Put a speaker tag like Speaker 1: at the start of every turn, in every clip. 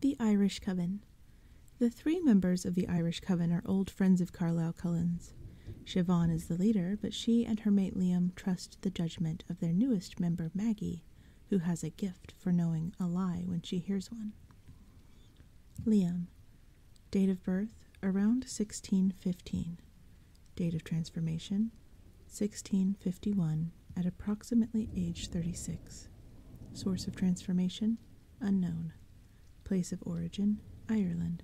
Speaker 1: The Irish Coven The three members of the Irish Coven are old friends of Carlyle Cullen's. Siobhan is the leader, but she and her mate Liam trust the judgment of their newest member, Maggie, who has a gift for knowing a lie when she hears one. Liam. Date of birth, around 1615. Date of transformation, 1651 at approximately age 36. Source of transformation unknown. Place of origin Ireland.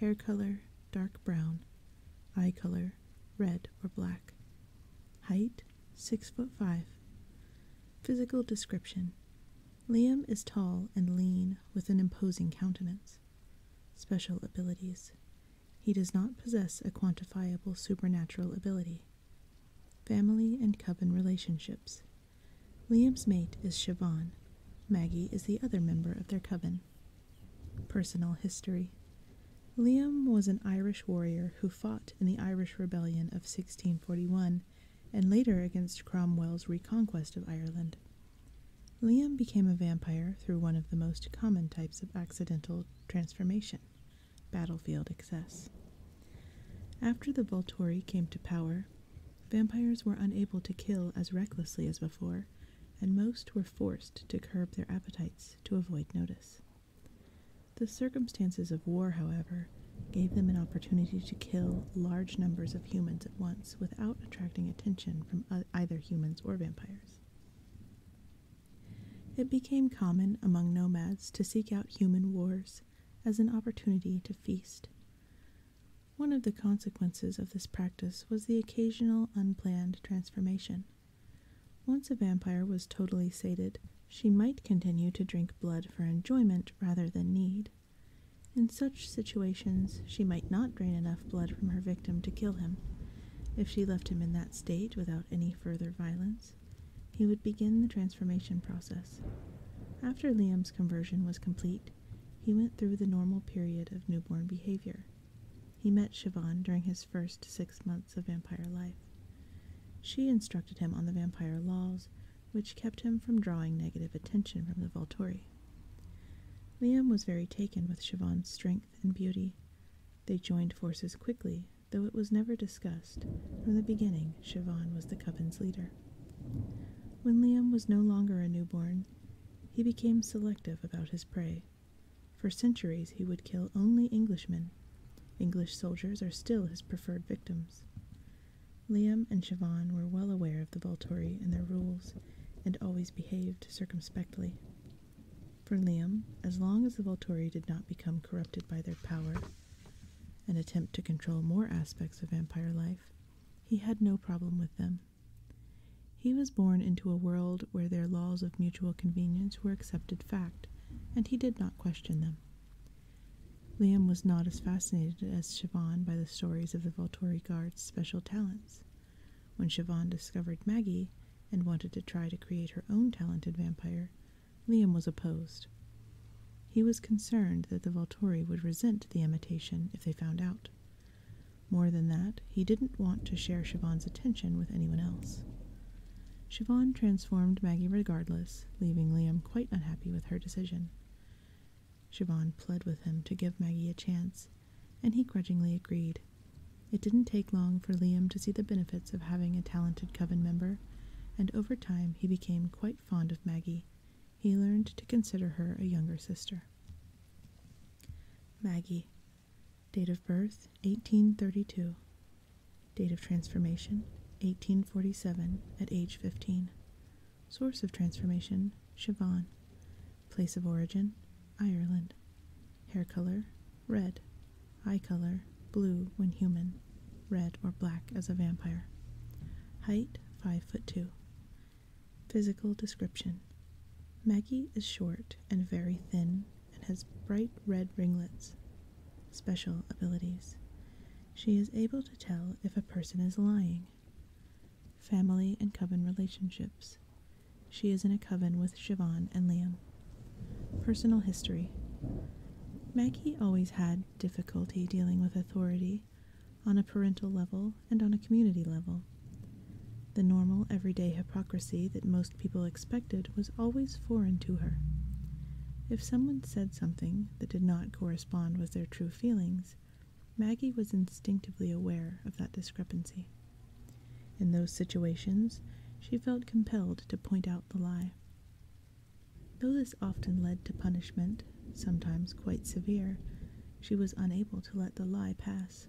Speaker 1: Hair color dark brown. Eye color red or black. Height 6 foot 5. Physical description Liam is tall and lean with an imposing countenance. Special abilities. He does not possess a quantifiable supernatural ability. Family and Coven Relationships Liam's mate is Siobhan. Maggie is the other member of their coven. Personal History Liam was an Irish warrior who fought in the Irish Rebellion of 1641 and later against Cromwell's reconquest of Ireland. Liam became a vampire through one of the most common types of accidental transformation battlefield excess. After the Volturi came to power, vampires were unable to kill as recklessly as before, and most were forced to curb their appetites to avoid notice. The circumstances of war, however, gave them an opportunity to kill large numbers of humans at once without attracting attention from either humans or vampires. It became common among nomads to seek out human wars as an opportunity to feast. One of the consequences of this practice was the occasional unplanned transformation. Once a vampire was totally sated, she might continue to drink blood for enjoyment rather than need. In such situations, she might not drain enough blood from her victim to kill him. If she left him in that state without any further violence, he would begin the transformation process. After Liam's conversion was complete, he went through the normal period of newborn behavior. He met Siobhan during his first six months of vampire life. She instructed him on the vampire laws, which kept him from drawing negative attention from the Volturi. Liam was very taken with Siobhan's strength and beauty. They joined forces quickly Though it was never discussed, from the beginning Siobhan was the coven's leader. When Liam was no longer a newborn, he became selective about his prey. For centuries, he would kill only Englishmen. English soldiers are still his preferred victims. Liam and Siobhan were well aware of the Volturi and their rules, and always behaved circumspectly. For Liam, as long as the Volturi did not become corrupted by their power, an attempt to control more aspects of vampire life, he had no problem with them. He was born into a world where their laws of mutual convenience were accepted fact, and he did not question them. Liam was not as fascinated as Siobhan by the stories of the Volturi guard's special talents. When Siobhan discovered Maggie and wanted to try to create her own talented vampire, Liam was opposed. He was concerned that the Volturi would resent the imitation if they found out. More than that, he didn't want to share Siobhan's attention with anyone else. Siobhan transformed Maggie regardless, leaving Liam quite unhappy with her decision. Siobhan pleaded with him to give Maggie a chance, and he grudgingly agreed. It didn't take long for Liam to see the benefits of having a talented coven member, and over time he became quite fond of Maggie. He learned to consider her a younger sister. Maggie. Date of birth 1832. Date of transformation 1847 at age 15. Source of transformation Siobhan. Place of origin Ireland. Hair color Red. Eye color blue when human, red or black as a vampire. Height 5 foot 2. Physical description Maggie is short and very thin and has bright red ringlets. Special abilities She is able to tell if a person is lying. Family and coven relationships. She is in a coven with Siobhan and Liam. Personal history Maggie always had difficulty dealing with authority on a parental level and on a community level. The normal, everyday hypocrisy that most people expected was always foreign to her. If someone said something that did not correspond with their true feelings, Maggie was instinctively aware of that discrepancy. In those situations, she felt compelled to point out the lie. Though this often led to punishment, sometimes quite severe, she was unable to let the lie pass.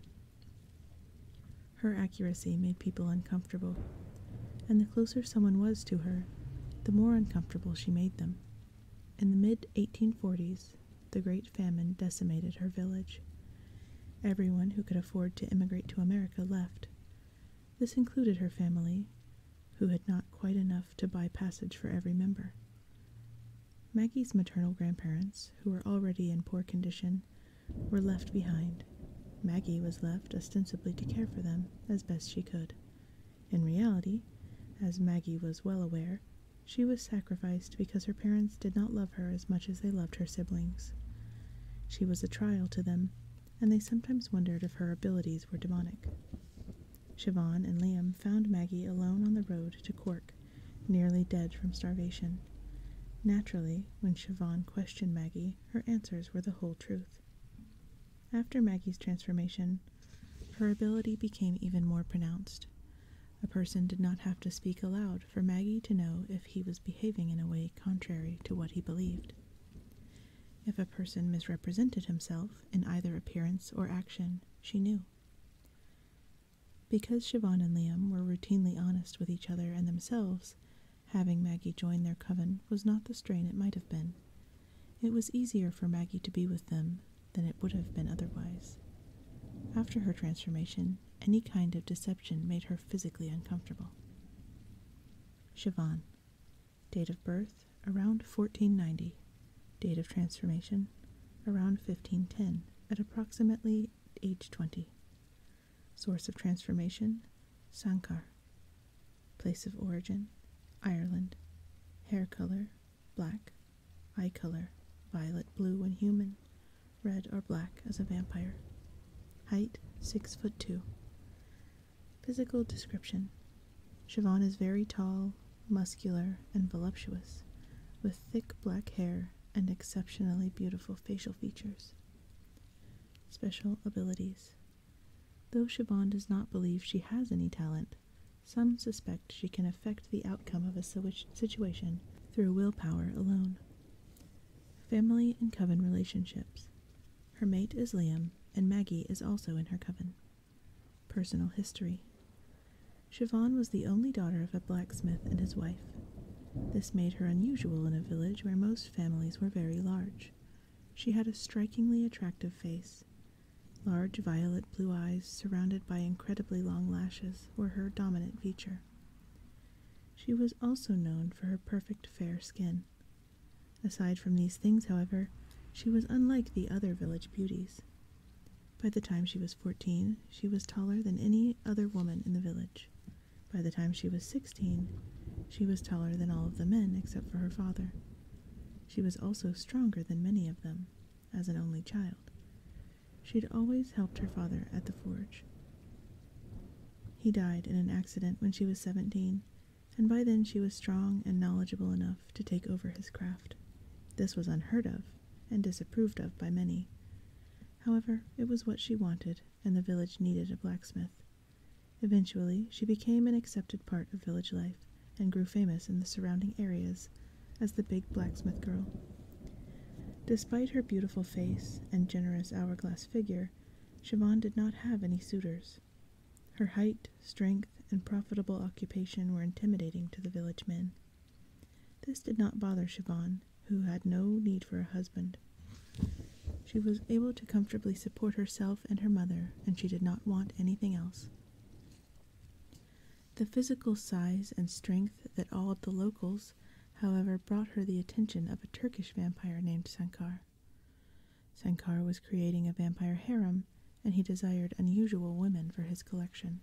Speaker 1: Her accuracy made people uncomfortable, and the closer someone was to her, the more uncomfortable she made them. In the mid 1840s, the Great Famine decimated her village. Everyone who could afford to emigrate to America left, this included her family, who had not quite enough to buy passage for every member. Maggie's maternal grandparents, who were already in poor condition, were left behind. Maggie was left ostensibly to care for them as best she could. In reality, as Maggie was well aware, she was sacrificed because her parents did not love her as much as they loved her siblings. She was a trial to them, and they sometimes wondered if her abilities were demonic. Siobhan and Liam found Maggie alone on the road to Cork, nearly dead from starvation. Naturally, when Siobhan questioned Maggie, her answers were the whole truth. After Maggie's transformation, her ability became even more pronounced. A person did not have to speak aloud for Maggie to know if he was behaving in a way contrary to what he believed. If a person misrepresented himself in either appearance or action, she knew. Because Shivan and Liam were routinely honest with each other and themselves, having Maggie join their coven was not the strain it might have been. It was easier for Maggie to be with them than it would have been otherwise. After her transformation, any kind of deception made her physically uncomfortable. Shivan, Date of birth around 1490. Date of transformation around 1510 at approximately age 20. Source of transformation Sankar. Place of origin Ireland. Hair color black. Eye color violet blue when human, red or black as a vampire. Height 6 foot 2. Physical description Siobhan is very tall, muscular, and voluptuous, with thick black hair and exceptionally beautiful facial features. Special abilities Though Siobhan does not believe she has any talent, some suspect she can affect the outcome of a situation through willpower alone. Family and coven relationships. Her mate is Liam, and Maggie is also in her coven. Personal history Siobhan was the only daughter of a blacksmith and his wife. This made her unusual in a village where most families were very large. She had a strikingly attractive face. Large violet blue eyes, surrounded by incredibly long lashes, were her dominant feature. She was also known for her perfect fair skin. Aside from these things, however, she was unlike the other village beauties. By the time she was fourteen, she was taller than any other woman in the village. By the time she was sixteen, she was taller than all of the men except for her father. She was also stronger than many of them, as an only child. She had always helped her father at the forge. He died in an accident when she was 17, and by then she was strong and knowledgeable enough to take over his craft. This was unheard of and disapproved of by many. However, it was what she wanted, and the village needed a blacksmith. Eventually, she became an accepted part of village life and grew famous in the surrounding areas as the big blacksmith girl. Despite her beautiful face and generous hourglass figure, Siobhan did not have any suitors. Her height, strength, and profitable occupation were intimidating to the village men. This did not bother Siobhan, who had no need for a husband. She was able to comfortably support herself and her mother, and she did not want anything else. The physical size and strength that awed the locals, however, brought her the attention of a Turkish vampire named Sankar. Sankar was creating a vampire harem, and he desired unusual women for his collection.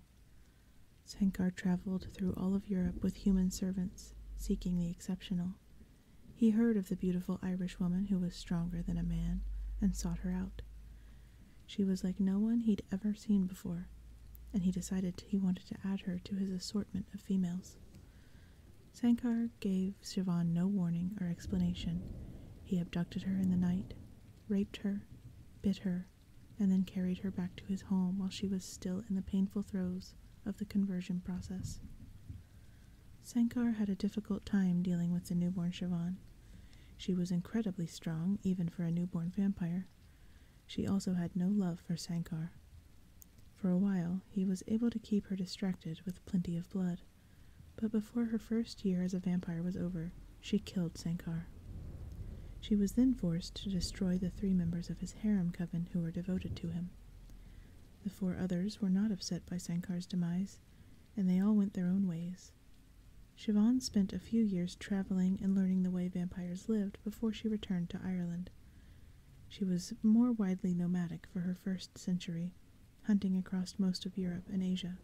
Speaker 1: Sankar traveled through all of Europe with human servants, seeking the exceptional. He heard of the beautiful Irish woman who was stronger than a man and sought her out. She was like no one he'd ever seen before, and he decided he wanted to add her to his assortment of females. Sankar gave Siobhan no warning or explanation. He abducted her in the night, raped her, bit her, and then carried her back to his home while she was still in the painful throes of the conversion process. Sankar had a difficult time dealing with the newborn Siobhan. She was incredibly strong, even for a newborn vampire. She also had no love for Sankar. For a while, he was able to keep her distracted with plenty of blood, but before her first year as a vampire was over, she killed Sankar. She was then forced to destroy the three members of his harem coven who were devoted to him. The four others were not upset by Sankar's demise, and they all went their own ways. Siobhan spent a few years traveling and learning the way vampires lived before she returned to Ireland, she was more widely nomadic for her first century, hunting across most of Europe and Asia.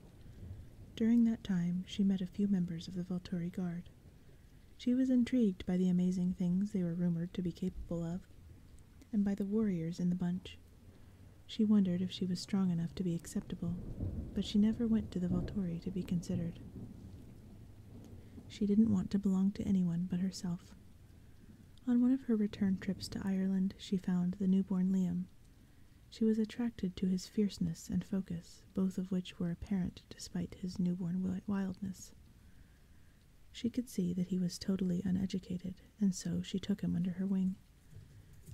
Speaker 1: During that time, she met a few members of the Volturi Guard. She was intrigued by the amazing things they were rumored to be capable of, and by the warriors in the bunch. She wondered if she was strong enough to be acceptable, but she never went to the Volturi to be considered. She didn't want to belong to anyone but herself. On one of her return trips to Ireland, she found the newborn Liam. She was attracted to his fierceness and focus, both of which were apparent despite his newborn wildness. She could see that he was totally uneducated, and so she took him under her wing.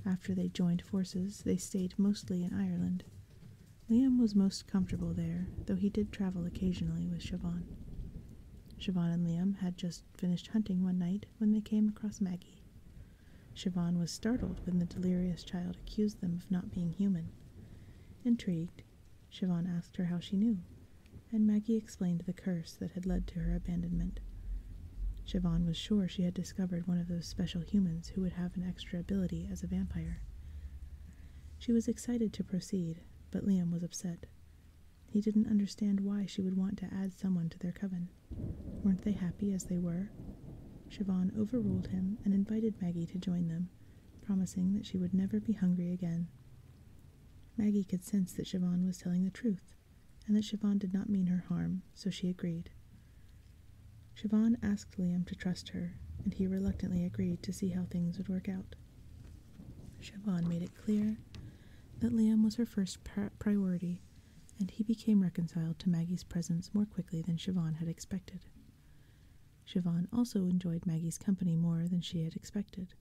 Speaker 1: After they joined forces, they stayed mostly in Ireland. Liam was most comfortable there, though he did travel occasionally with Siobhan. Siobhan and Liam had just finished hunting one night when they came across Maggie. Siobhan was startled when the delirious child accused them of not being human. Intrigued, Siobhan asked her how she knew, and Maggie explained the curse that had led to her abandonment. Siobhan was sure she had discovered one of those special humans who would have an extra ability as a vampire. She was excited to proceed, but Liam was upset. He didn't understand why she would want to add someone to their coven. Weren't they happy as they were? Siobhan overruled him and invited Maggie to join them, promising that she would never be hungry again. Maggie could sense that Siobhan was telling the truth, and that Siobhan did not mean her harm, so she agreed. Siobhan asked Liam to trust her, and he reluctantly agreed to see how things would work out. Siobhan made it clear that Liam was her first priority, and he became reconciled to Maggie's presence more quickly than Siobhan had expected. Siobhan also enjoyed Maggie's company more than she had expected.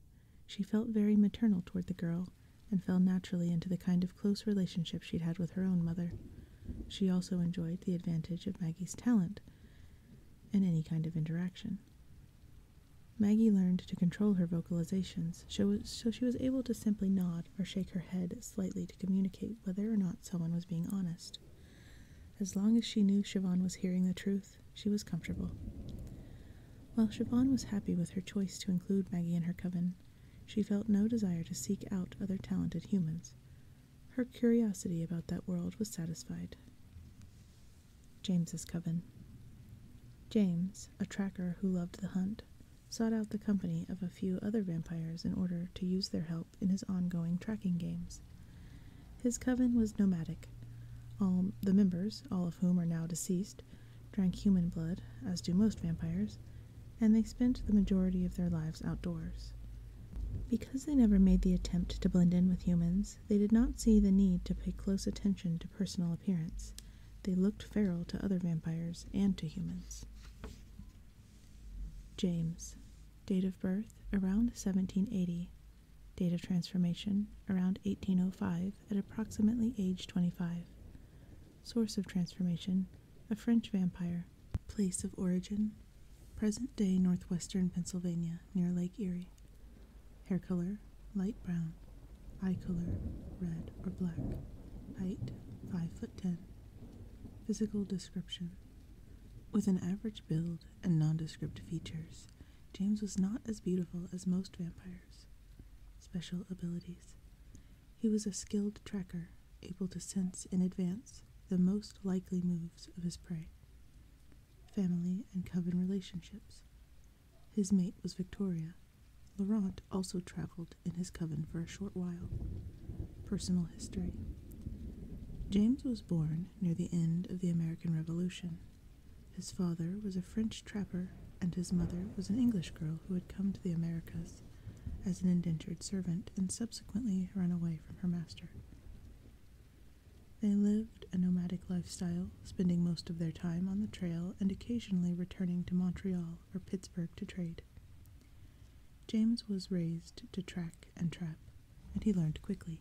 Speaker 1: She felt very maternal toward the girl and fell naturally into the kind of close relationship she'd had with her own mother. She also enjoyed the advantage of Maggie's talent in any kind of interaction. Maggie learned to control her vocalizations, so she was able to simply nod or shake her head slightly to communicate whether or not someone was being honest. As long as she knew Siobhan was hearing the truth, she was comfortable. While Siobhan was happy with her choice to include Maggie in her coven, she felt no desire to seek out other talented humans. Her curiosity about that world was satisfied. James's coven. James, a tracker who loved the hunt, sought out the company of a few other vampires in order to use their help in his ongoing tracking games. His coven was nomadic. All the members, all of whom are now deceased, drank human blood, as do most vampires, and they spent the majority of their lives outdoors. Because they never made the attempt to blend in with humans, they did not see the need to pay close attention to personal appearance. They looked feral to other vampires and to humans. James. Date of birth around 1780. Date of transformation around 1805 at approximately age 25. Source of transformation a French vampire. Place of origin present day northwestern Pennsylvania near Lake Erie. Hair color light brown. Eye color red or black. Height 5 foot 10. Physical description With an average build and nondescript features, James was not as beautiful as most vampires. Special abilities He was a skilled tracker, able to sense in advance the most likely moves of his prey family, and coven relationships. His mate was Victoria. Laurent also traveled in his coven for a short while. Personal history James was born near the end of the American Revolution. His father was a French trapper, and his mother was an English girl who had come to the Americas as an indentured servant and subsequently run away from her master. They lived a nomadic lifestyle, spending most of their time on the trail and occasionally returning to Montreal or Pittsburgh to trade. James was raised to track and trap, and he learned quickly.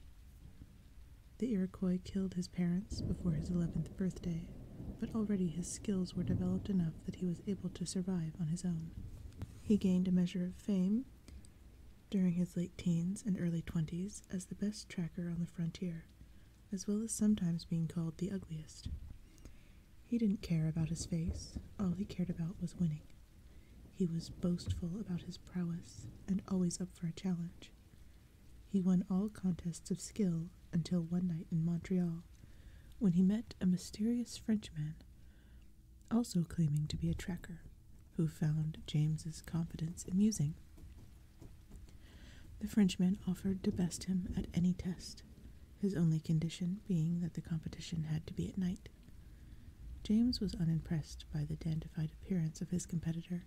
Speaker 1: The Iroquois killed his parents before his 11th birthday, but already his skills were developed enough that he was able to survive on his own. He gained a measure of fame during his late teens and early 20s as the best tracker on the frontier, as well as sometimes being called the ugliest. He didn't care about his face, all he cared about was winning. He was boastful about his prowess and always up for a challenge. He won all contests of skill until one night in Montreal when he met a mysterious Frenchman, also claiming to be a tracker, who found James's confidence amusing. The Frenchman offered to best him at any test, his only condition being that the competition had to be at night. James was unimpressed by the dandified appearance of his competitor,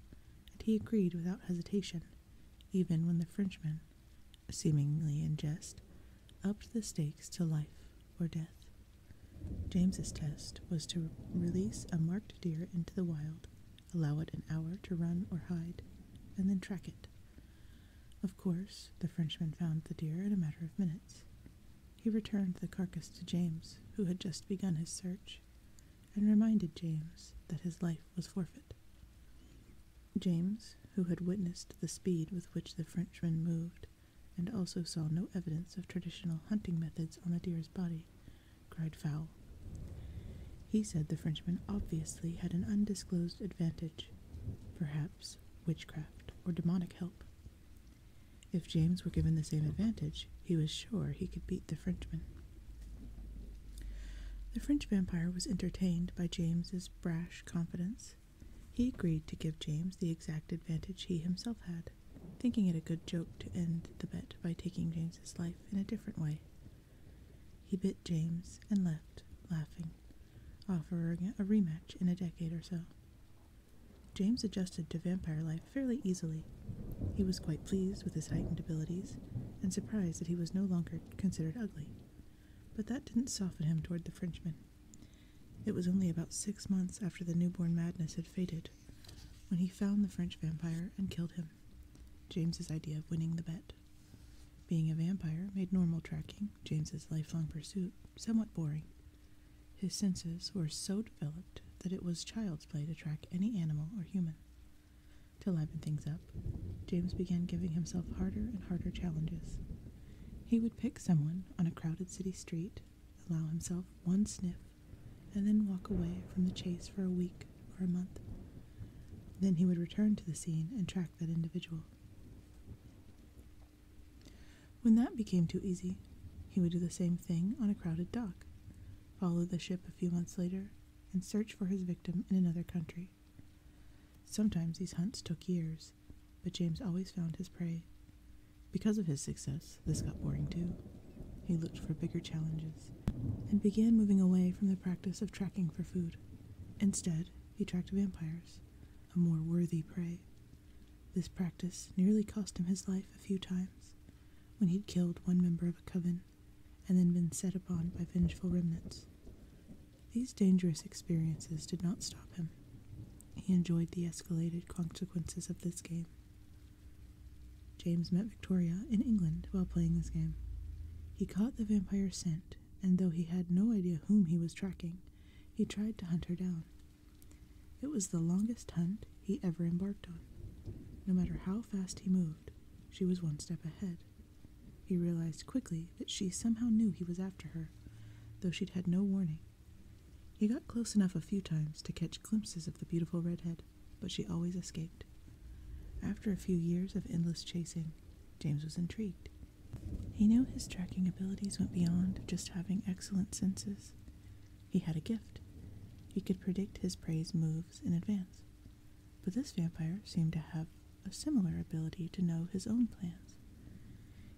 Speaker 1: and he agreed without hesitation, even when the Frenchman, seemingly in jest, upped the stakes to life or death. James's test was to release a marked deer into the wild allow it an hour to run or hide, and then track it. Of course, the Frenchman found the deer in a matter of minutes. He returned the carcass to James, who had just begun his search, and reminded James that his life was forfeit. James, who had witnessed the speed with which the Frenchman moved, and also saw no evidence of traditional hunting methods on the deer's body, cried Fowl. He said the Frenchman obviously had an undisclosed advantage, perhaps witchcraft or demonic help. If James were given the same advantage, he was sure he could beat the Frenchman. The French vampire was entertained by James's brash confidence. He agreed to give James the exact advantage he himself had thinking it a good joke to end the bet by taking James's life in a different way. He bit James and left, laughing, offering a rematch in a decade or so. James adjusted to vampire life fairly easily. He was quite pleased with his heightened abilities and surprised that he was no longer considered ugly. But that didn't soften him toward the Frenchman. It was only about six months after the newborn madness had faded when he found the French vampire and killed him. James's idea of winning the bet. Being a vampire made normal tracking, James's lifelong pursuit, somewhat boring. His senses were so developed that it was child's play to track any animal or human. To liven things up, James began giving himself harder and harder challenges. He would pick someone on a crowded city street, allow himself one sniff and then walk away from the chase for a week or a month. Then he would return to the scene and track that individual. When that became too easy, he would do the same thing on a crowded dock, follow the ship a few months later, and search for his victim in another country. Sometimes these hunts took years, but James always found his prey. Because of his success, this got boring too. He looked for bigger challenges and began moving away from the practice of tracking for food. Instead, he tracked vampires, a more worthy prey. This practice nearly cost him his life a few times when he'd killed one member of a coven and then been set upon by vengeful remnants. These dangerous experiences did not stop him. He enjoyed the escalated consequences of this game. James met Victoria in England while playing this game. He caught the vampire's scent, and though he had no idea whom he was tracking, he tried to hunt her down. It was the longest hunt he ever embarked on. No matter how fast he moved, she was one step ahead. He realized quickly that she somehow knew he was after her, though she'd had no warning. He got close enough a few times to catch glimpses of the beautiful redhead, but she always escaped. After a few years of endless chasing, James was intrigued. He knew his tracking abilities went beyond just having excellent senses. He had a gift. He could predict his prey's moves in advance. But this vampire seemed to have a similar ability to know his own plans.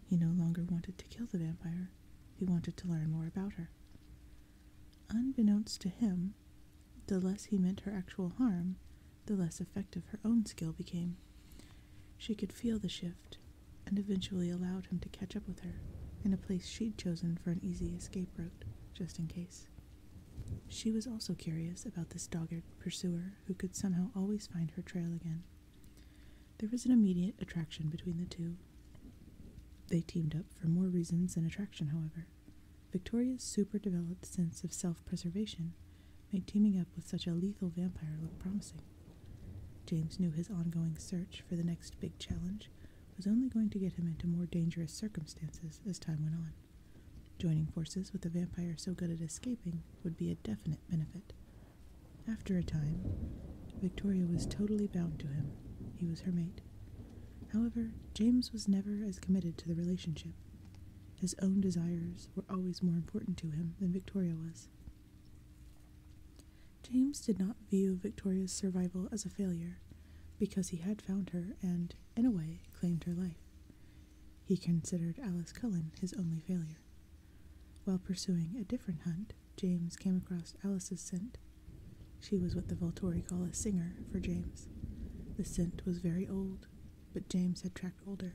Speaker 1: He no longer wanted to kill the vampire, he wanted to learn more about her. Unbeknownst to him, the less he meant her actual harm, the less effective her own skill became. She could feel the shift, and eventually allowed him to catch up with her in a place she'd chosen for an easy escape route, just in case. She was also curious about this dogged pursuer who could somehow always find her trail again. There was an immediate attraction between the two, they teamed up for more reasons than attraction, however. Victoria's super developed sense of self preservation made teaming up with such a lethal vampire look promising. James knew his ongoing search for the next big challenge was only going to get him into more dangerous circumstances as time went on. Joining forces with a vampire so good at escaping would be a definite benefit. After a time, Victoria was totally bound to him. He was her mate, However, James was never as committed to the relationship. His own desires were always more important to him than Victoria was. James did not view Victoria's survival as a failure because he had found her and, in a way, claimed her life. He considered Alice Cullen his only failure. While pursuing a different hunt, James came across Alice's scent. She was what the Volturi call a singer for James. The scent was very old, but James had tracked older.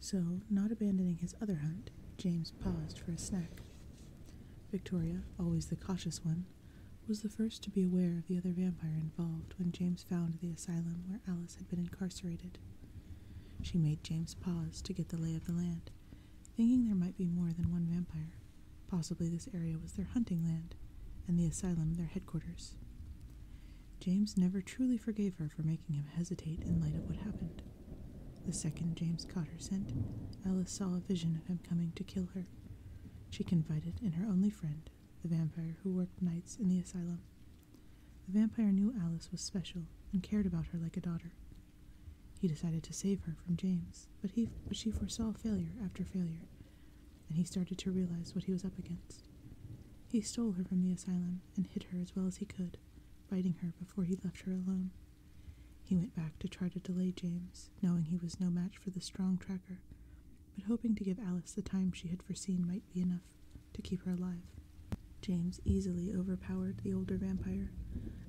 Speaker 1: So, not abandoning his other hunt, James paused for a snack. Victoria, always the cautious one, was the first to be aware of the other vampire involved when James found the asylum where Alice had been incarcerated. She made James pause to get the lay of the land Thinking there might be more than one vampire, possibly this area was their hunting land, and the asylum their headquarters. James never truly forgave her for making him hesitate in light of what happened. The second James caught her scent, Alice saw a vision of him coming to kill her. She confided in her only friend, the vampire who worked nights in the asylum. The vampire knew Alice was special and cared about her like a daughter, he decided to save her from James, but, he, but she foresaw failure after failure, and he started to realize what he was up against. He stole her from the asylum and hid her as well as he could, biting her before he left her alone. He went back to try to delay James, knowing he was no match for the strong tracker, but hoping to give Alice the time she had foreseen might be enough to keep her alive. James easily overpowered the older vampire.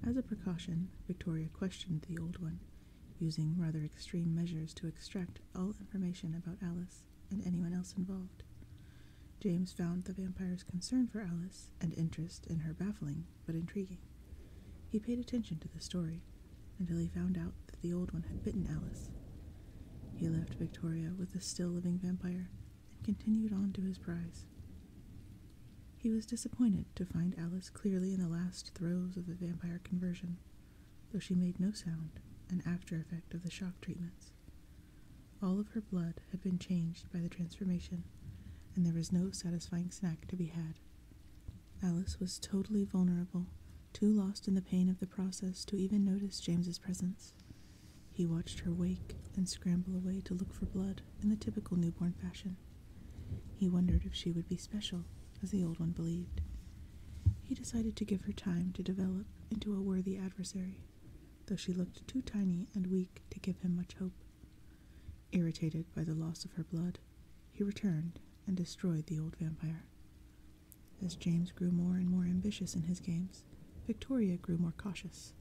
Speaker 1: As a precaution, Victoria questioned the old one using rather extreme measures to extract all information about Alice and anyone else involved. James found the vampire's concern for Alice and interest in her baffling but intriguing. He paid attention to the story until he found out that the old one had bitten Alice. He left Victoria with the still living vampire and continued on to his prize. He was disappointed to find Alice clearly in the last throes of the vampire conversion, though she made no sound, an after effect of the shock treatments. All of her blood had been changed by the transformation, and there was no satisfying snack to be had. Alice was totally vulnerable, too lost in the pain of the process to even notice James's presence. He watched her wake and scramble away to look for blood in the typical newborn fashion. He wondered if she would be special, as the old one believed. He decided to give her time to develop into a worthy adversary, though she looked too tiny and weak to give him much hope. Irritated by the loss of her blood, he returned and destroyed the old vampire. As James grew more and more ambitious in his games, Victoria grew more cautious.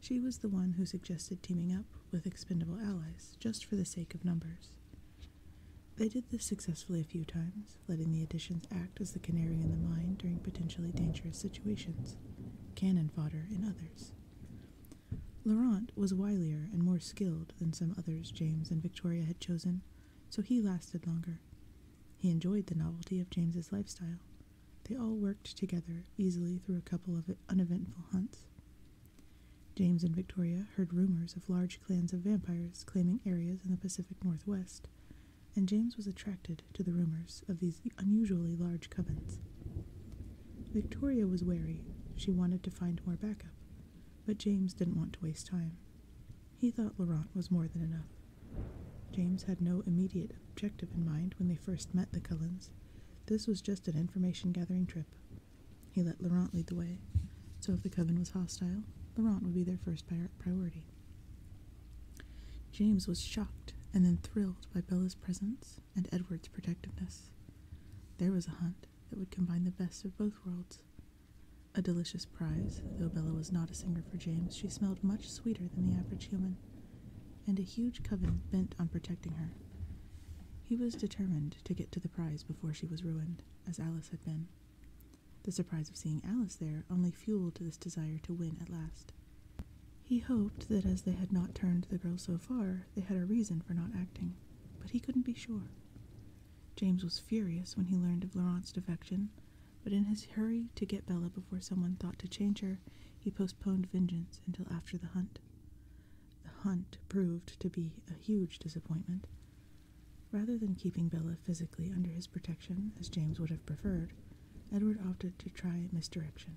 Speaker 1: She was the one who suggested teaming up with expendable allies just for the sake of numbers. They did this successfully a few times, letting the additions act as the canary in the mine during potentially dangerous situations, cannon fodder in others. Laurent was wilier and more skilled than some others James and Victoria had chosen, so he lasted longer. He enjoyed the novelty of James's lifestyle. They all worked together easily through a couple of uneventful hunts, James and Victoria heard rumors of large clans of vampires claiming areas in the Pacific Northwest, and James was attracted to the rumors of these unusually large covens. Victoria was wary. She wanted to find more backup, but James didn't want to waste time. He thought Laurent was more than enough. James had no immediate objective in mind when they first met the Cullens. This was just an information gathering trip he let Laurent lead the way, so if the coven was hostile, Laurent would be their first priority. James was shocked and then thrilled by Bella's presence and Edward's protectiveness. There was a hunt that would combine the best of both worlds. A delicious prize, though Bella was not a singer for James, she smelled much sweeter than the average human, and a huge coven bent on protecting her, he was determined to get to the prize before she was ruined, as Alice had been. The surprise of seeing Alice there only fueled this desire to win at last. He hoped that as they had not turned the girl so far, they had a reason for not acting, but he couldn't be sure. James was furious when he learned of Laurent's defection, but in his hurry to get Bella before someone thought to change her, he postponed vengeance until after the hunt. The hunt proved to be a huge disappointment. Rather than keeping Bella physically under his protection, as James would have preferred, Edward opted to try misdirection.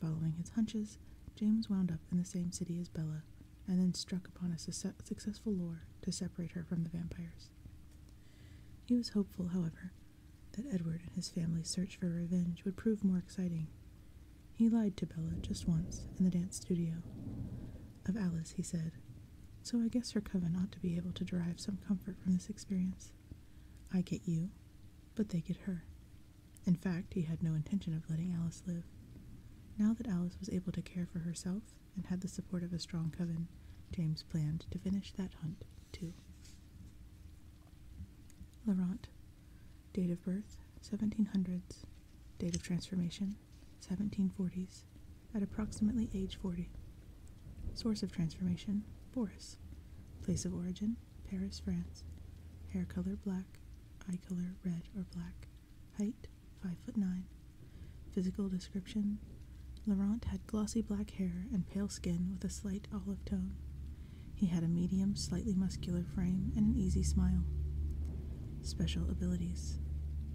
Speaker 1: Following his hunches, James wound up in the same city as Bella, and then struck upon a successful lure to separate her from the vampires. He was hopeful, however, that Edward and his family's search for revenge would prove more exciting. He lied to Bella just once in the dance studio. Of Alice, he said, So I guess her coven ought to be able to derive some comfort from this experience. I get you, but they get her. In fact, he had no intention of letting Alice live. Now that Alice was able to care for herself and had the support of a strong coven, James planned to finish that hunt, too. Laurent Date of birth, 1700s. Date of transformation, 1740s, at approximately age 40. Source of transformation, Boris. Place of origin, Paris, France. Hair color, black. Eye color, red or black. Height, 5 foot 9. Physical description, Laurent had glossy black hair and pale skin with a slight olive tone. He had a medium, slightly muscular frame and an easy smile. Special abilities.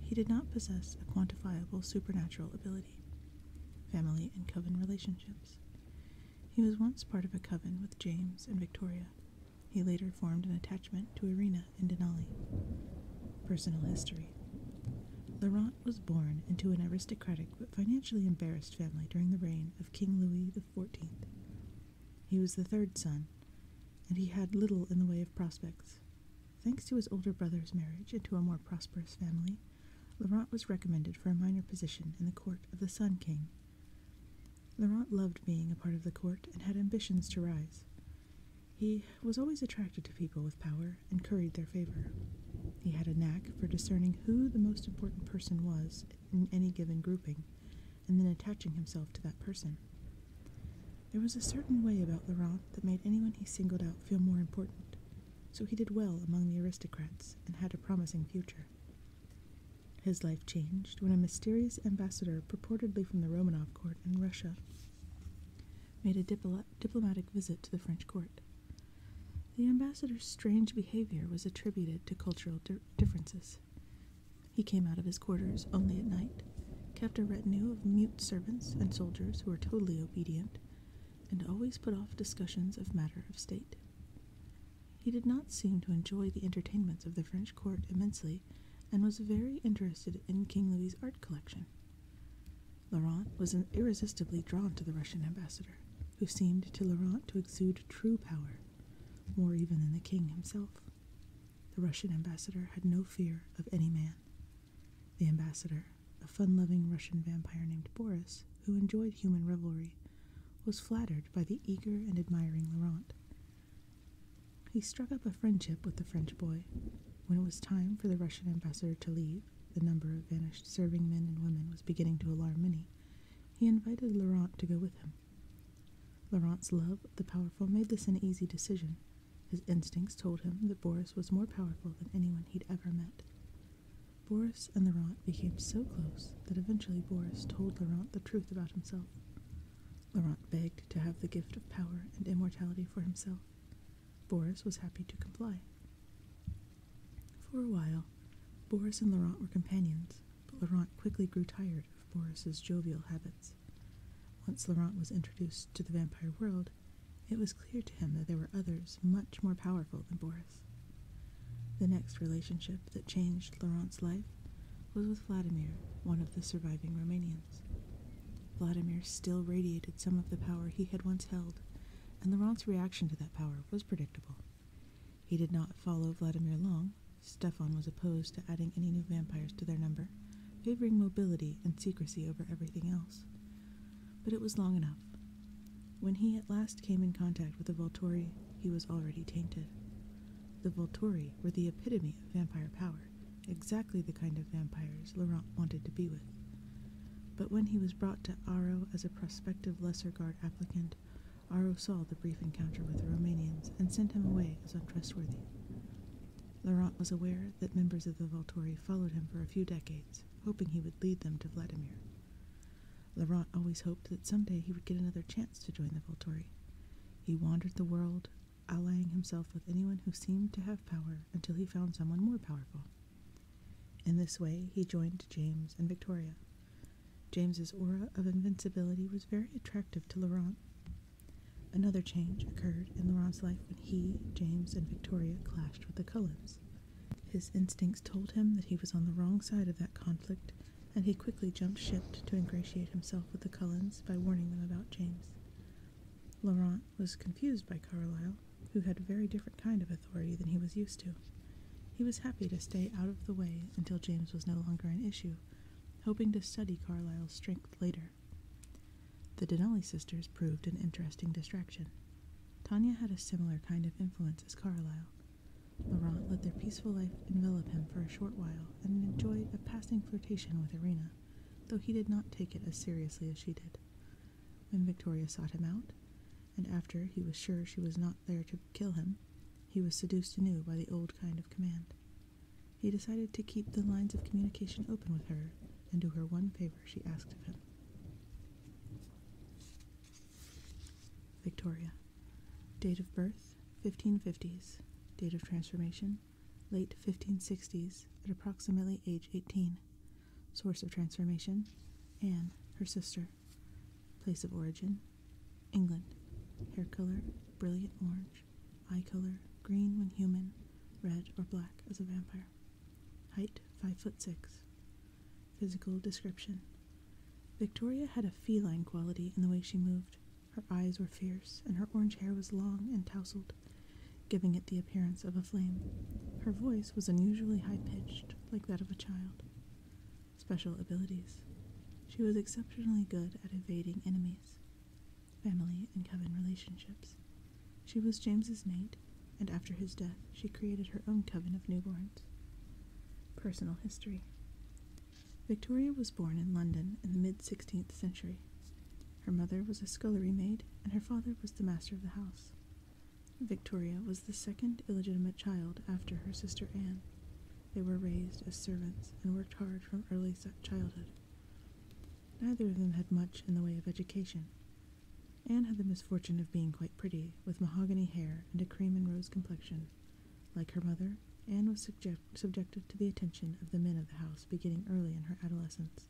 Speaker 1: He did not possess a quantifiable supernatural ability. Family and coven relationships. He was once part of a coven with James and Victoria. He later formed an attachment to Irina and Denali. Personal history. Laurent was born into an aristocratic but financially embarrassed family during the reign of King Louis the Fourteenth. He was the third son, and he had little in the way of prospects. Thanks to his older brother's marriage into a more prosperous family, Laurent was recommended for a minor position in the court of the Sun King. Laurent loved being a part of the court and had ambitions to rise. He was always attracted to people with power and curried their favor. He had a knack for discerning who the most important person was in any given grouping and then attaching himself to that person. There was a certain way about Laurent that made anyone he singled out feel more important, so he did well among the aristocrats and had a promising future. His life changed when a mysterious ambassador, purportedly from the Romanov court in Russia, made a diplomatic visit to the French court. The ambassador's strange behavior was attributed to cultural differences. He came out of his quarters only at night, kept a retinue of mute servants and soldiers who were totally obedient, and always put off discussions of matter of state. He did not seem to enjoy the entertainments of the French court immensely, and was very interested in King Louis's art collection. Laurent was irresistibly drawn to the Russian ambassador, who seemed to Laurent to exude true power, more even than the king himself. The Russian ambassador had no fear of any man. The ambassador, a fun loving Russian vampire named Boris, who enjoyed human revelry, was flattered by the eager and admiring Laurent. He struck up a friendship with the French boy. When it was time for the Russian ambassador to leave, the number of vanished serving men and women was beginning to alarm many. He invited Laurent to go with him. Laurent's love of the powerful made this an easy decision. His instincts told him that Boris was more powerful than anyone he'd ever met. Boris and Laurent became so close that eventually Boris told Laurent the truth about himself. Laurent begged to have the gift of power and immortality for himself. Boris was happy to comply. For a while, Boris and Laurent were companions, but Laurent quickly grew tired of Boris's jovial habits. Once Laurent was introduced to the vampire world, it was clear to him that there were others much more powerful than Boris. The next relationship that changed Laurent's life was with Vladimir, one of the surviving Romanians. Vladimir still radiated some of the power he had once held, and Laurent's reaction to that power was predictable. He did not follow Vladimir long. Stefan was opposed to adding any new vampires to their number, favoring mobility and secrecy over everything else. But it was long enough. When he at last came in contact with the Volturi, he was already tainted. The Volturi were the epitome of vampire power, exactly the kind of vampires Laurent wanted to be with. But when he was brought to Aro as a prospective Lesser Guard applicant, Aro saw the brief encounter with the Romanians and sent him away as untrustworthy. Laurent was aware that members of the Volturi followed him for a few decades, hoping he would lead them to Vladimir. Laurent always hoped that someday he would get another chance to join the Volturi. He wandered the world, allying himself with anyone who seemed to have power until he found someone more powerful. In this way, he joined James and Victoria, James's aura of invincibility was very attractive to Laurent. Another change occurred in Laurent's life when he, James, and Victoria clashed with the Cullens. His instincts told him that he was on the wrong side of that conflict, and he quickly jumped ship to ingratiate himself with the Cullens by warning them about James. Laurent was confused by Carlyle, who had a very different kind of authority than he was used to. He was happy to stay out of the way until James was no longer an issue, hoping to study Carlyle's strength later. The Denali sisters proved an interesting distraction. Tanya had a similar kind of influence as Carlyle. Laurent let their peaceful life envelop him for a short while and enjoyed a passing flirtation with Irina, though he did not take it as seriously as she did. When Victoria sought him out, and after he was sure she was not there to kill him, he was seduced anew by the old kind of command. He decided to keep the lines of communication open with her and do her one favor she asked of him. Victoria. Date of birth 1550s. Date of transformation late 1560s at approximately age 18. Source of transformation Anne, her sister. Place of origin England. Hair color brilliant orange. Eye color green when human, red or black as a vampire. Height 5 foot 6. Physical description Victoria had a feline quality in the way she moved. Her eyes were fierce, and her orange hair was long and tousled, giving it the appearance of a flame. Her voice was unusually high pitched, like that of a child special abilities. She was exceptionally good at evading enemies, family, and coven relationships. She was James's mate, and after his death, she created her own coven of newborns. Personal history Victoria was born in London in the mid 16th century. Her mother was a scullery maid, and her father was the master of the house. Victoria was the second illegitimate child after her sister Anne. They were raised as servants and worked hard from early childhood. Neither of them had much in the way of education. Anne had the misfortune of being quite pretty, with mahogany hair and a cream and rose complexion. Like her mother, Anne was subjected to the attention of the men of the house beginning early in her adolescence.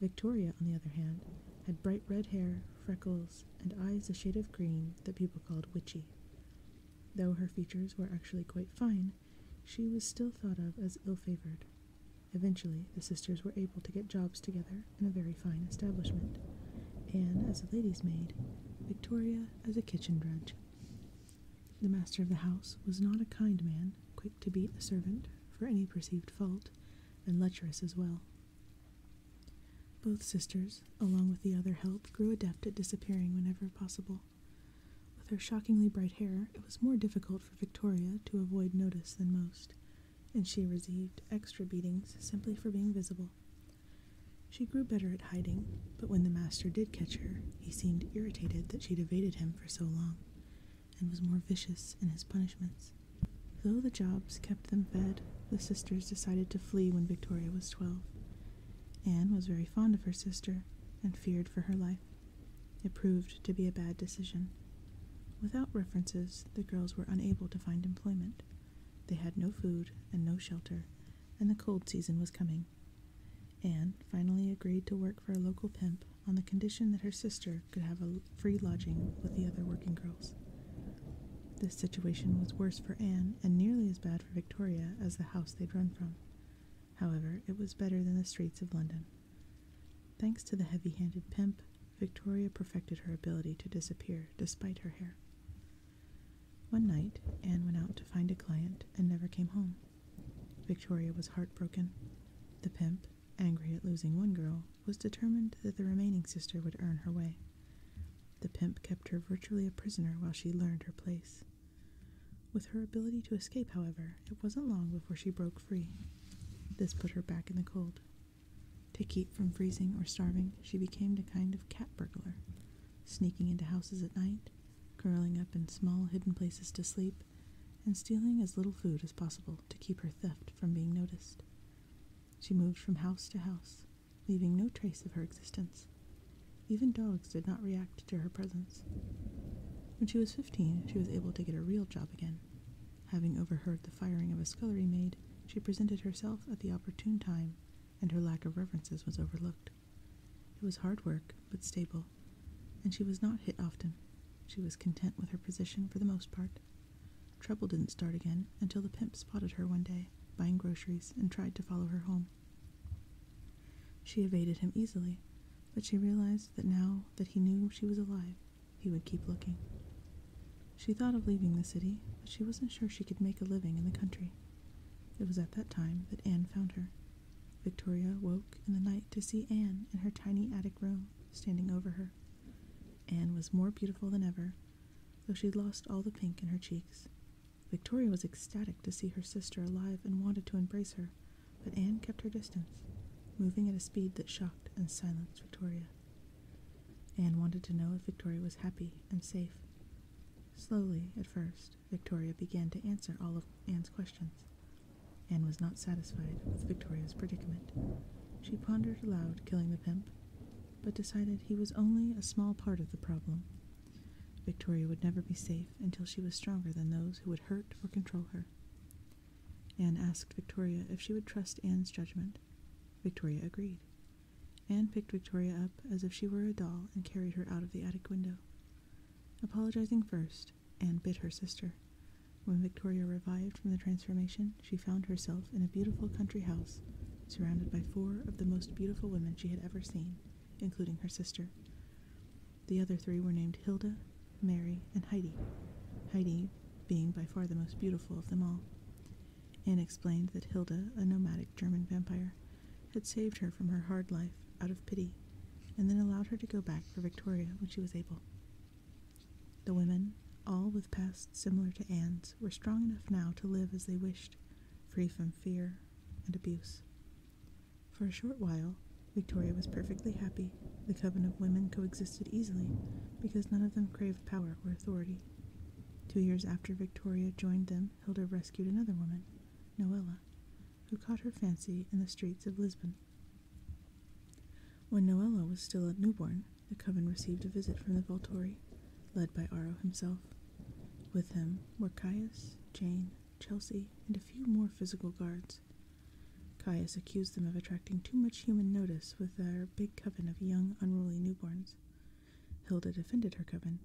Speaker 1: Victoria, on the other hand, had bright red hair, freckles, and eyes a shade of green that people called witchy. Though her features were actually quite fine, she was still thought of as ill favored. Eventually, the sisters were able to get jobs together in a very fine establishment Anne as a lady's maid, Victoria as a kitchen drudge. The master of the house was not a kind man, quick to beat a servant for any perceived fault, and lecherous as well, both sisters, along with the other help, grew adept at disappearing whenever possible. With her shockingly bright hair, it was more difficult for Victoria to avoid notice than most, and she received extra beatings simply for being visible. She grew better at hiding, but when the master did catch her, he seemed irritated that she'd evaded him for so long, and was more vicious in his punishments. Though the jobs kept them fed, the sisters decided to flee when Victoria was twelve. Anne was very fond of her sister and feared for her life. It proved to be a bad decision. Without references, the girls were unable to find employment. They had no food and no shelter, and the cold season was coming. Anne finally agreed to work for a local pimp on the condition that her sister could have a free lodging with the other working girls. This situation was worse for Anne and nearly as bad for Victoria as the house they'd run from. However, it was better than the streets of London. Thanks to the heavy handed pimp, Victoria perfected her ability to disappear despite her hair. One night, Anne went out to find a client and never came home. Victoria was heartbroken. The pimp, angry at losing one girl, was determined that the remaining sister would earn her way. The pimp kept her virtually a prisoner while she learned her place. With her ability to escape, however, it wasn't long before she broke free. This put her back in the cold. To keep from freezing or starving, she became a kind of cat burglar, sneaking into houses at night, curling up in small hidden places to sleep, and stealing as little food as possible to keep her theft from being noticed. She moved from house to house, leaving no trace of her existence. Even dogs did not react to her presence. When she was 15, she was able to get a real job again. Having overheard the firing of a scullery maid, she presented herself at the opportune time, and her lack of references was overlooked. It was hard work, but stable, and she was not hit often. She was content with her position for the most part. Trouble didn't start again until the pimp spotted her one day, buying groceries, and tried to follow her home. She evaded him easily, but she realized that now that he knew she was alive, he would keep looking. She thought of leaving the city, but she wasn't sure she could make a living in the country. It was at that time that Anne found her. Victoria woke in the night to see Anne in her tiny attic room, standing over her. Anne was more beautiful than ever, though she'd lost all the pink in her cheeks. Victoria was ecstatic to see her sister alive and wanted to embrace her, but Anne kept her distance, moving at a speed that shocked and silenced Victoria. Anne wanted to know if Victoria was happy and safe. Slowly, at first, Victoria began to answer all of Anne's questions. Anne was not satisfied with Victoria's predicament. She pondered aloud killing the pimp, but decided he was only a small part of the problem. Victoria would never be safe until she was stronger than those who would hurt or control her. Anne asked Victoria if she would trust Anne's judgment. Victoria agreed. Anne picked Victoria up as if she were a doll and carried her out of the attic window. Apologizing first, Anne bit her sister. When Victoria revived from the transformation, she found herself in a beautiful country house, surrounded by four of the most beautiful women she had ever seen, including her sister. The other three were named Hilda, Mary, and Heidi, Heidi being by far the most beautiful of them all. Anne explained that Hilda, a nomadic German vampire, had saved her from her hard life out of pity, and then allowed her to go back for Victoria when she was able. The women, all with past similar to Anne's were strong enough now to live as they wished, free from fear and abuse. For a short while, Victoria was perfectly happy. The coven of women coexisted easily because none of them craved power or authority. Two years after Victoria joined them, Hilda rescued another woman, Noella, who caught her fancy in the streets of Lisbon. When Noella was still a newborn, the coven received a visit from the Volturi, led by Aro himself. With him were Caius, Jane, Chelsea, and a few more physical guards. Caius accused them of attracting too much human notice with their big coven of young, unruly newborns. Hilda defended her coven,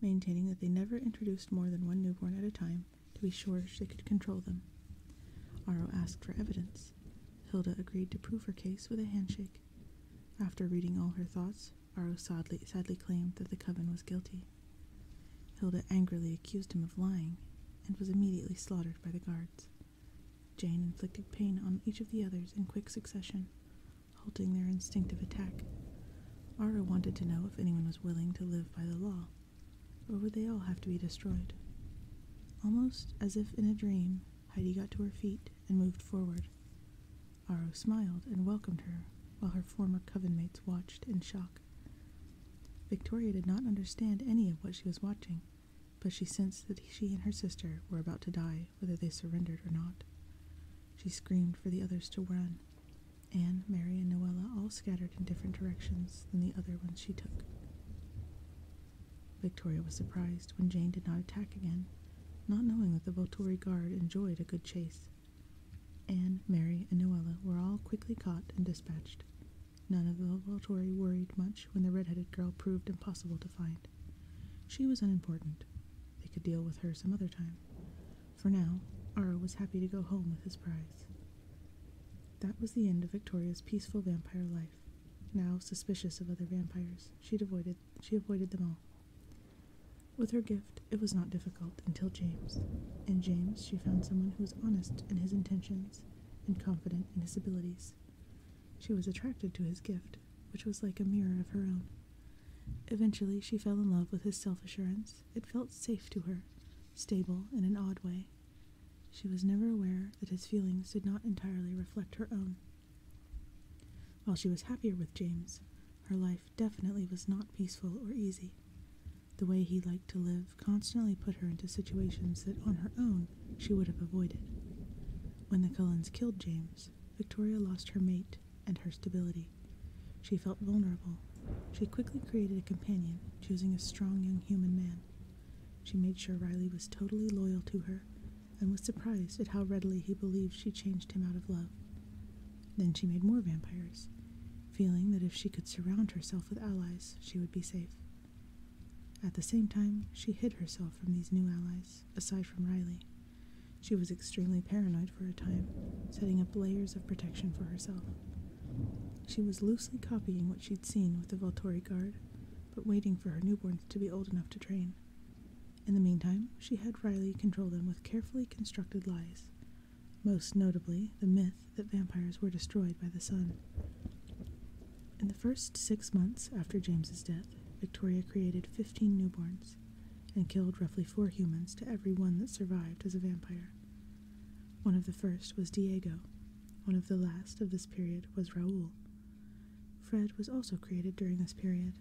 Speaker 1: maintaining that they never introduced more than one newborn at a time to be sure she could control them. Aro asked for evidence. Hilda agreed to prove her case with a handshake after reading all her thoughts, Aro sadly, claimed that the coven was guilty. Hilda angrily accused him of lying and was immediately slaughtered by the guards. Jane inflicted pain on each of the others in quick succession, halting their instinctive attack. Ara wanted to know if anyone was willing to live by the law, or would they all have to be destroyed? Almost as if in a dream, Heidi got to her feet and moved forward. Aro smiled and welcomed her, while her former coven mates watched in shock. Victoria did not understand any of what she was watching, but she sensed that she and her sister were about to die, whether they surrendered or not. She screamed for the others to run. Anne, Mary, and Noella all scattered in different directions than the other ones she took. Victoria was surprised when Jane did not attack again, not knowing that the Volturi guard enjoyed a good chase. Anne, Mary, and Noella were all quickly caught and dispatched. None of the Volturi worried much when the red-headed girl proved impossible to find. She was unimportant. They could deal with her some other time. For now, Ara was happy to go home with his prize. That was the end of Victoria's peaceful vampire life. Now suspicious of other vampires, she devoted she avoided them all. With her gift, it was not difficult until James. In James, she found someone who was honest in his intentions and confident in his abilities. She was attracted to his gift, which was like a mirror of her own. Eventually, she fell in love with his self assurance. It felt safe to her, stable in an odd way. She was never aware that his feelings did not entirely reflect her own. While she was happier with James, her life definitely was not peaceful or easy. The way he liked to live constantly put her into situations that on her own she would have avoided. When the Cullens killed James, Victoria lost her mate and her stability. She felt vulnerable. She quickly created a companion, choosing a strong young human man. She made sure Riley was totally loyal to her and was surprised at how readily he believed she changed him out of love. Then she made more vampires, feeling that if she could surround herself with allies, she would be safe. At the same time, she hid herself from these new allies, aside from Riley. She was extremely paranoid for a time, setting up layers of protection for herself. She was loosely copying what she'd seen with the Volturi Guard, but waiting for her newborns to be old enough to train. In the meantime, she had Riley control them with carefully constructed lies, most notably the myth that vampires were destroyed by the sun. In the first six months after James's death, Victoria created 15 newborns and killed roughly four humans to every one that survived as a vampire. One of the first was Diego. One of the last of this period was Raoul, Fred was also created during this period.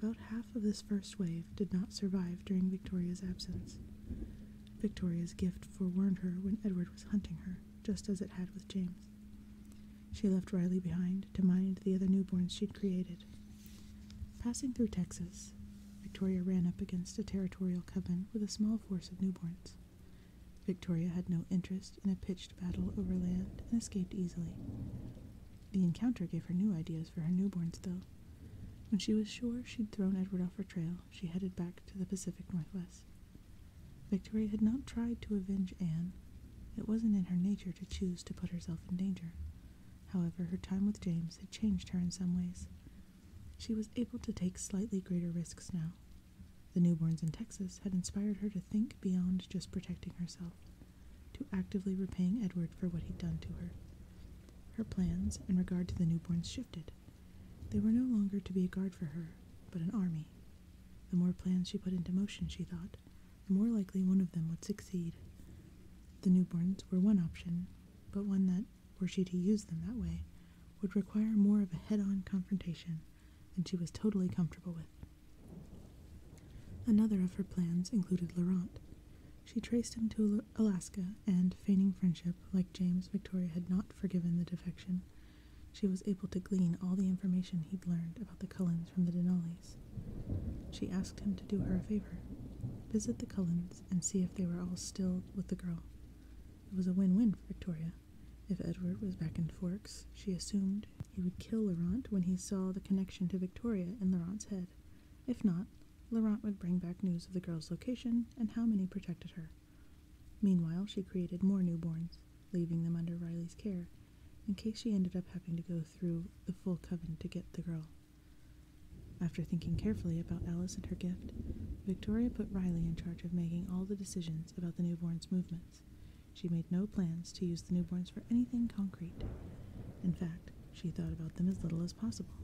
Speaker 1: About half of this first wave did not survive during Victoria's absence. Victoria's gift forewarned her when Edward was hunting her, just as it had with James. She left Riley behind to mind the other newborns she'd created. Passing through Texas, Victoria ran up against a territorial coven with a small force of newborns. Victoria had no interest in a pitched battle over land and escaped easily. The encounter gave her new ideas for her newborns, though. When she was sure she'd thrown Edward off her trail, she headed back to the Pacific Northwest. Victoria had not tried to avenge Anne. It wasn't in her nature to choose to put herself in danger. However, her time with James had changed her in some ways. She was able to take slightly greater risks now. The newborns in Texas had inspired her to think beyond just protecting herself to actively repaying Edward for what he'd done to her. Her plans in regard to the newborns shifted. They were no longer to be a guard for her, but an army. The more plans she put into motion, she thought, the more likely one of them would succeed. The newborns were one option, but one that, were she to use them that way, would require more of a head on confrontation than she was totally comfortable with. Another of her plans included Laurent. She traced him to Alaska, and, feigning friendship, like James, Victoria had not forgiven the defection. She was able to glean all the information he'd learned about the Cullens from the Denolis. She asked him to do her a favor visit the Cullens and see if they were all still with the girl. It was a win win for Victoria. If Edward was back in Forks, she assumed he would kill Laurent when he saw the connection to Victoria in Laurent's head. If not, Laurent would bring back news of the girl's location and how many protected her. Meanwhile, she created more newborns, leaving them under Riley's care, in case she ended up having to go through the full coven to get the girl. After thinking carefully about Alice and her gift, Victoria put Riley in charge of making all the decisions about the newborn's movements. She made no plans to use the newborns for anything concrete. In fact, she thought about them as little as possible.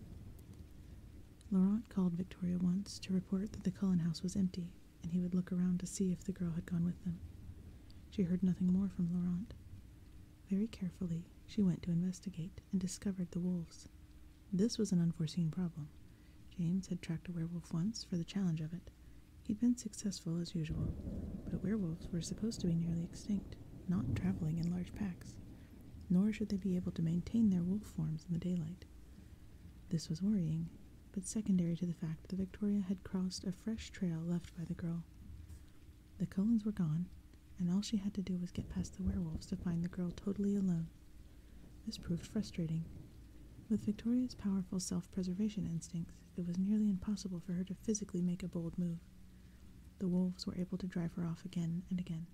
Speaker 1: Laurent called Victoria once to report that the Cullen house was empty, and he would look around to see if the girl had gone with them. She heard nothing more from Laurent. Very carefully, she went to investigate and discovered the wolves. This was an unforeseen problem. James had tracked a werewolf once for the challenge of it, He'd been successful as usual, but werewolves were supposed to be nearly extinct, not traveling in large packs, nor should they be able to maintain their wolf forms in the daylight. This was worrying, but secondary to the fact that Victoria had crossed a fresh trail left by the girl. The Cullens were gone, and all she had to do was get past the werewolves to find the girl totally alone. This proved frustrating. With Victoria's powerful self preservation instincts, it was nearly impossible for her to physically make a bold move. The wolves were able to drive her off again and again.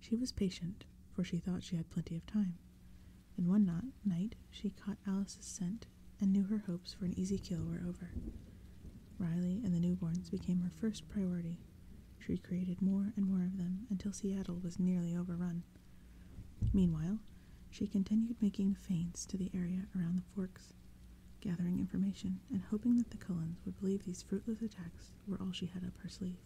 Speaker 1: She was patient, for she thought she had plenty of time. And one night she caught Alice's scent and knew her hopes for an easy kill were over. Riley and the newborns became her first priority. She created more and more of them until Seattle was nearly overrun. Meanwhile, she continued making feints to the area around the forks, gathering information and hoping that the Cullens would believe these fruitless attacks were all she had up her sleeve.